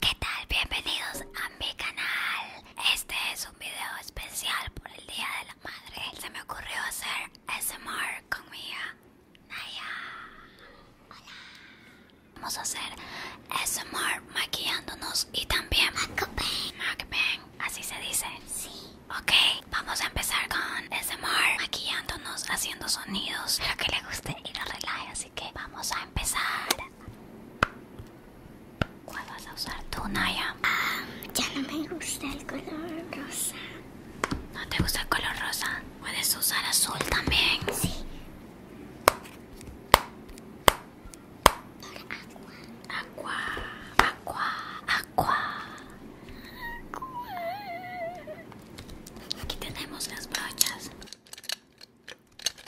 ¿Qué tal? Bienvenidos a mi canal. Este es un video especial por el Día de la Madre. Se me ocurrió hacer SMR con mi hija Naya. Hola. Vamos a hacer SMR maquillándonos y también Macbeth Macbeth, así se dice. Sí. Ok, vamos a empezar con SMR maquillándonos, haciendo sonidos. Espero que le guste y lo relaje, así que vamos a empezar. ¿Cuál vas a usar tú, Naya? Ah, ya no me gusta el color rosa. ¿No te gusta el color rosa? Puedes usar azul también. Sí. Agua, agua, agua, agua. Aquí tenemos las brochas.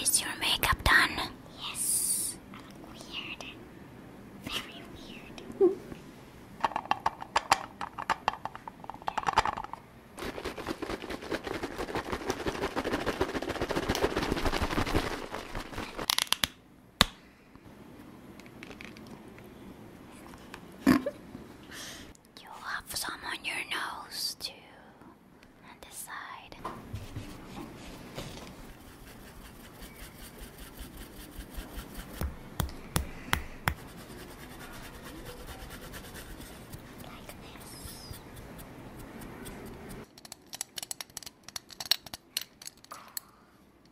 is your makeup done? Yes. Very weird you have some on your nose too, on this side. Like this.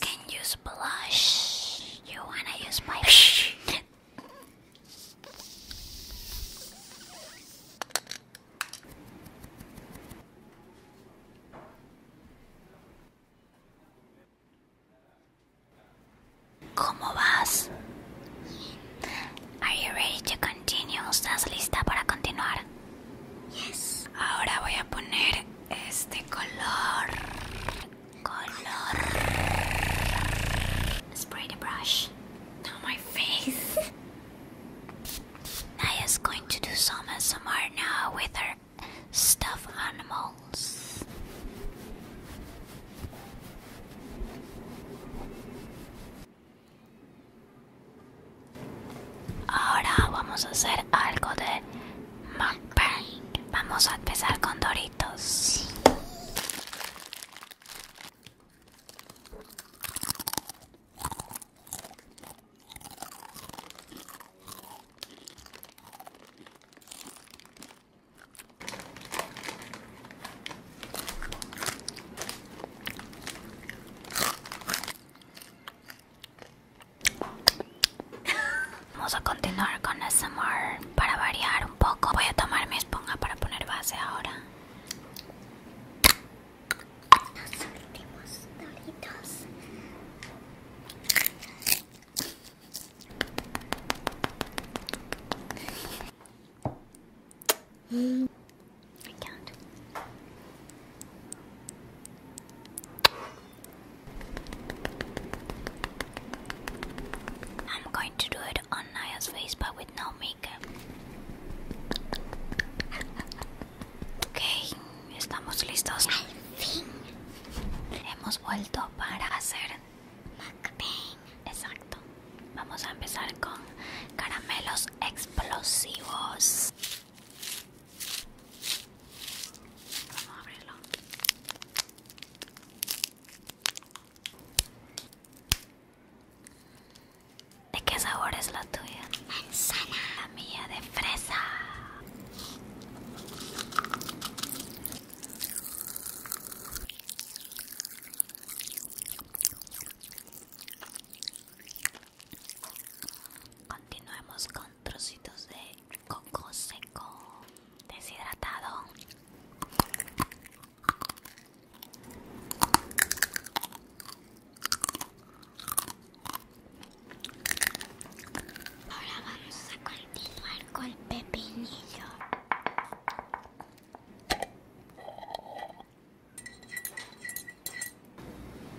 Can use blush. You wanna use my ¿Cómo vas? Are you ready to continue? ¿Estás lista para continuar? Yes. Ahora voy a poner este color color. Spray the brush. Now my face. Naya's going to do some ASMR now with her stuffed animals. Ahora vamos a hacer algo de Vamos a empezar con Doritos. Vamos a continuar con SMR para variar un poco. Voy a tomar mi esponja para poner base ahora. I'm going to do it on Naya's face but with no makeup. Ok, estamos listos. Al fin. Hemos vuelto para hacer Exacto. Vamos a empezar con caramelos explosivos. Vamos a abrirlo. ¿De qué sabor es la tuya? Manzana. La mía de fresa. Continuemos con trocitos de coco seco deshidratado. Ahora vamos a continuar con el pepinillo.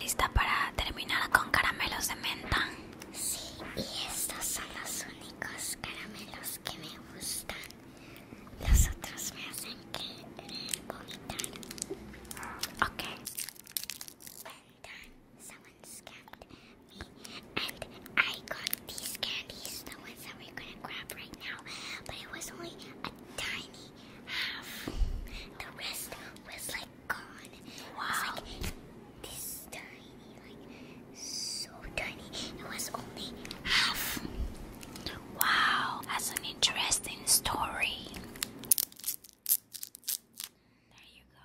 ¿Lista para terminar con caramelos de menta? Sí, y estos son los únicos caramelos que me gustan. Los otros me hacen que vomitar. Okay. someone me And I got these candies, the ones that we're gonna grab right now, but it was only a tiny half. The rest was like gone. Wow. this tiny, like so tiny. It was only half. Wow, that's an interesting story. There you go.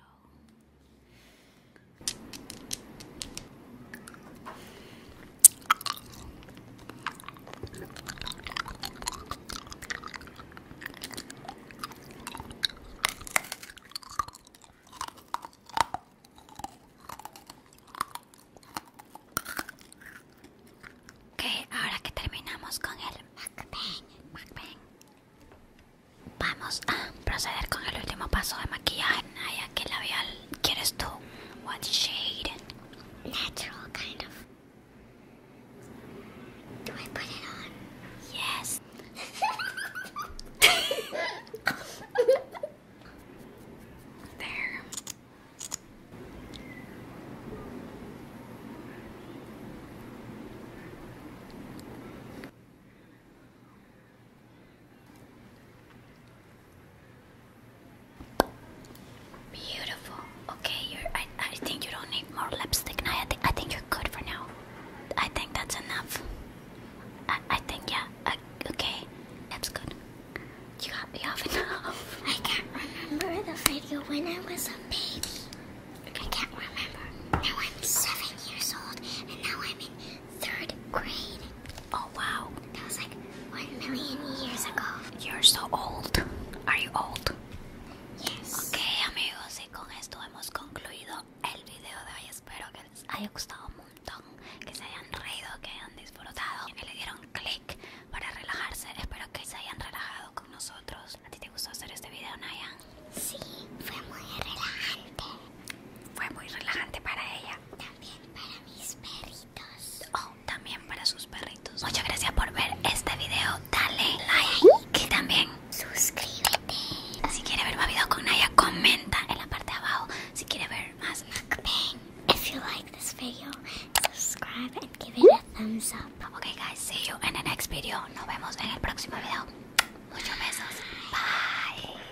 Ok, ahora que terminamos con el mukbang, vamos a proceder con el último paso de maquillaje. Naya, ¿qué labial quieres tú? shade? Natural, kind of. Do I put it on? Yes. there. Beautiful. Okay, you're. I, I think you don't need more lipstick. No, I, th I think you're good for now. I think that's enough. I, I think yeah. I, uh, okay, that's good. You have, you have enough. I can't remember the video when I was a baby. I can't remember. Now I'm seven years old, and now I'm in third grade. Oh wow. That was like one million years ago. You're so old. Are old? Yes. Ok amigos y con esto hemos concluido el video de hoy. Espero que les haya gustado un montón, que se hayan reído, que hayan disfrutado, que le dieron click para relajarse. Espero que se hayan relajado con nosotros. ¿A ti te gustó hacer este video, Nayan? Sí, fue muy relajante. Fue muy relajante para ella. También para mis perritos. Oh, también para sus perritos. Muchas gracias por ver este video. Dale like y también suscríbete. Si quieres ver más videos con Naya, comenta en la parte de abajo. Si quieres ver más mukbang. If you like this video, subscribe and give it a thumbs up. Okay guys, see you in the next video. Nos vemos en el próximo video. Muchos besos. Bye.